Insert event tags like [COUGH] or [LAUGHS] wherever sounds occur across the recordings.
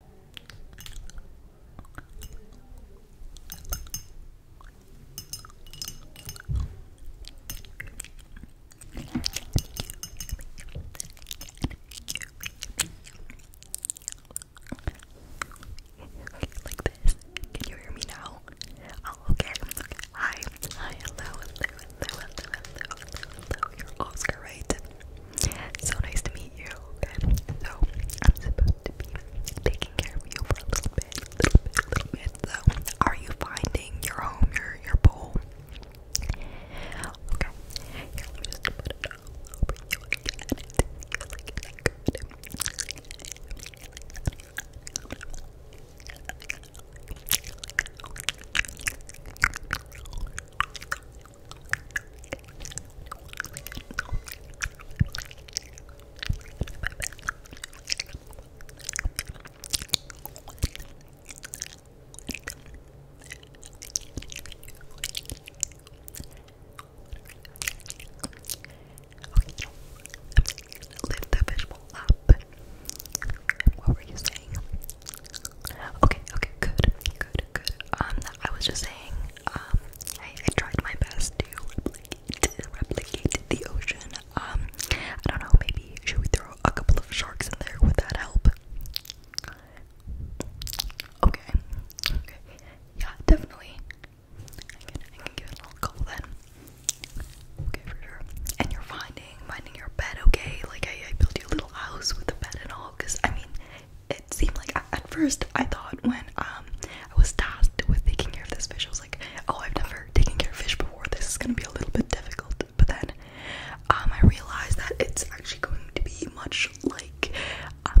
Like this. Can you hear me now? Oh, okay. Hi. Hi. Hello. Hello. Hello. Hello. Hello. You're Oscar, right? So nice to meet you. So I'm supposed to be taking care of you for a little bit, little bit, little bit. So are you finding your home, your your bowl? Okay lift the fishbowl up. What were you saying? Okay, okay, good, good, good. Um, I was just saying, um, I, I tried my best to replicate, the ocean. Um, I don't know, maybe should we throw a couple of sharks in there? Would that help? Okay, okay, yeah, definitely. I can, I can give it a little then. Okay, for sure. And you're fine finding finding your bed okay like I, built you a little house with a bed and all because I mean it seemed like at first I thought when um, I was tasked with taking care of this fish I was like oh I've never taken care of fish before this is gonna be a little bit difficult but then um, I realized that it's actually going to be much like um,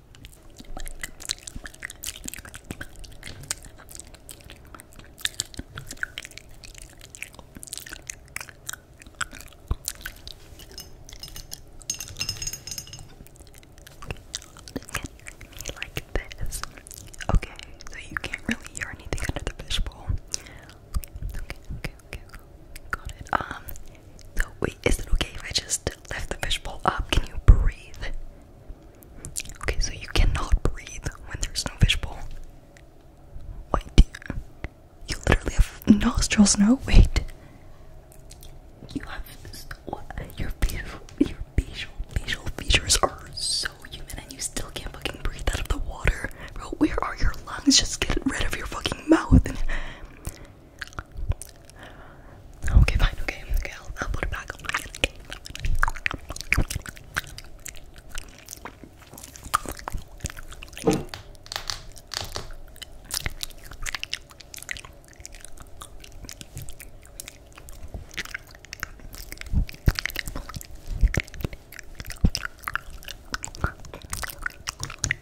Okay, so you can't really hear anything under the fishbowl. Okay, okay, okay, okay, got it. Um, so wait, is it okay if I just lift the fishbowl up? Can you breathe? Okay, so you cannot breathe when there's no fishbowl. Wait, you literally have nostrils, no? Wait. You have your facial, your facial, facial features are so human, and you still can't fucking breathe out of the water, bro. Where are your lungs? Just get rid of your fucking mouth. Okay, fine, okay, okay, I'll put it back.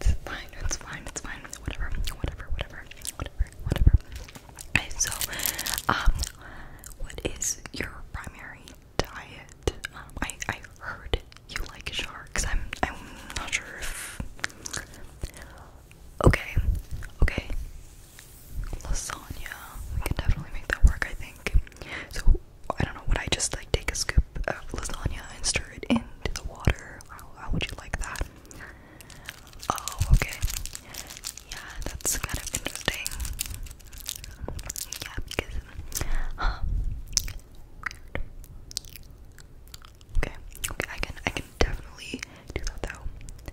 it's fine, it's fine, it's fine. Whatever, whatever, whatever, whatever, whatever. so, um, what is your primary diet? I I heard you like sharks. I'm I'm not sure if. Okay, okay, lasagna. We can definitely make that work, I think. So I don't know. Would I just like take a scoop of lasagna and stir it into the water? How, would you like that? Oh, okay. Yeah, that's kind of interesting. Yeah, because Okay, okay, I can, I can definitely do that though.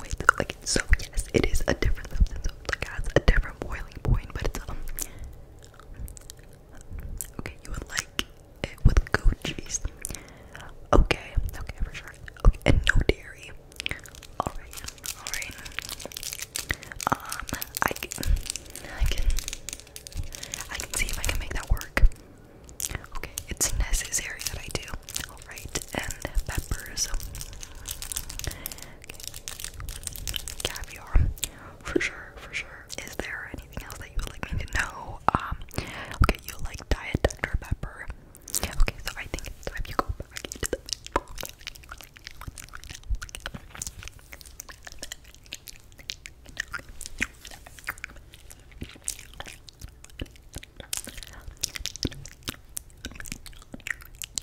Wait, like so yes, it is a different substance. It has a different boiling point, but it's um Okay, you would like it with goat Okay, okay, for sure. Okay, and no dairy. Alright, alright. Um, I can, I can, I can see if I can make that work. Okay, it's necessary that I do. Alright, and peppers. Caviar, for sure, for sure. Is there anything else that you would like me to know? Um, okay, you like diet Dr. Pepper. Okay, so I think it's time you go back into the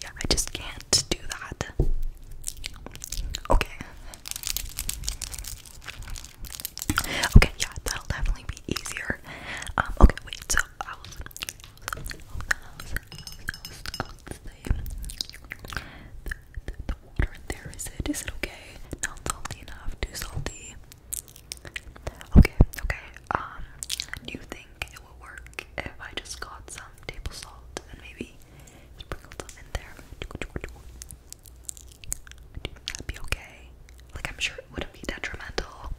yeah, I just can't do that. Okay. Okay, yeah, that'll definitely be easier. okay, wait, so the, water there, is it, is it okay? Not salty enough, too salty. Okay, okay, um, do you think it would work if I just got some table salt and maybe sprinkled some in there? Would be okay? Like, I'm sure it wouldn't be detrimental.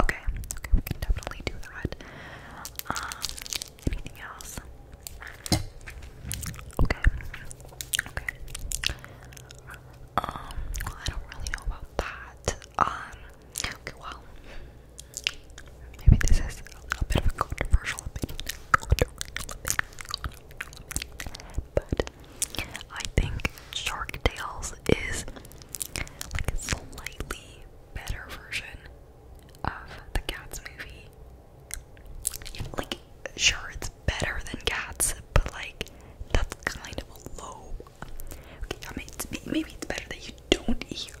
Okay, okay, we can definitely do that. Um, anything else? Okay, okay. Um, well, I don't really know about that. Um, well, maybe this is a bit of a controversial opinion, but I think Shark Tales is like a slightly better version of the Cats movie. Like, sure, it's better than Cats, but like, that's kind of a low Okay, I mean, maybe it's better that you don't hear it.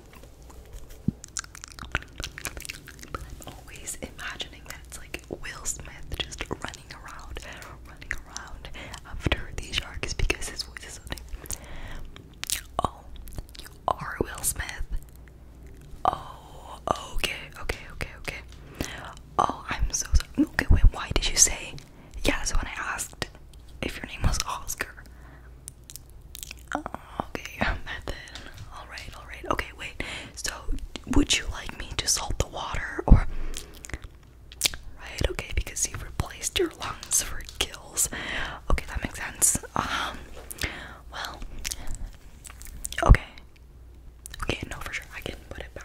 But I'm always imagining that it's like Will Smith just running around, running around after these sharks because his voice is something. Oh, you are Will Smith. Oh, okay, okay, okay, okay. Oh, I'm so sorry. Okay, wait, why did you say? yes when I asked if your name was Oscar, Oh, okay, [LAUGHS] method. All right, all right. Okay, wait. So, would you like me to salt the water or? Right. Okay, because you replaced your lungs for kills. Okay, that makes sense. Um. Well. Okay. Okay. No, for sure. I can put it back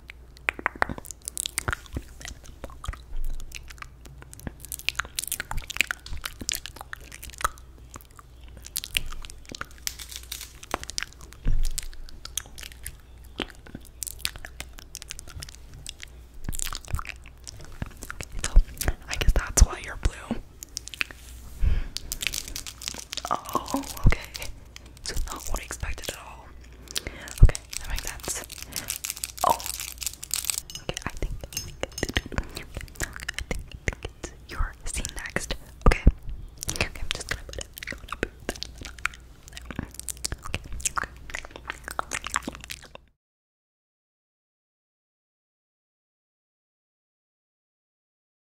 So, I guess that's why you're blue. Oh, okay. So not what I expected at all. Okay, that makes sense. Oh, okay. I think I think, it's your scene next. Okay. Okay, I'm just gonna put it.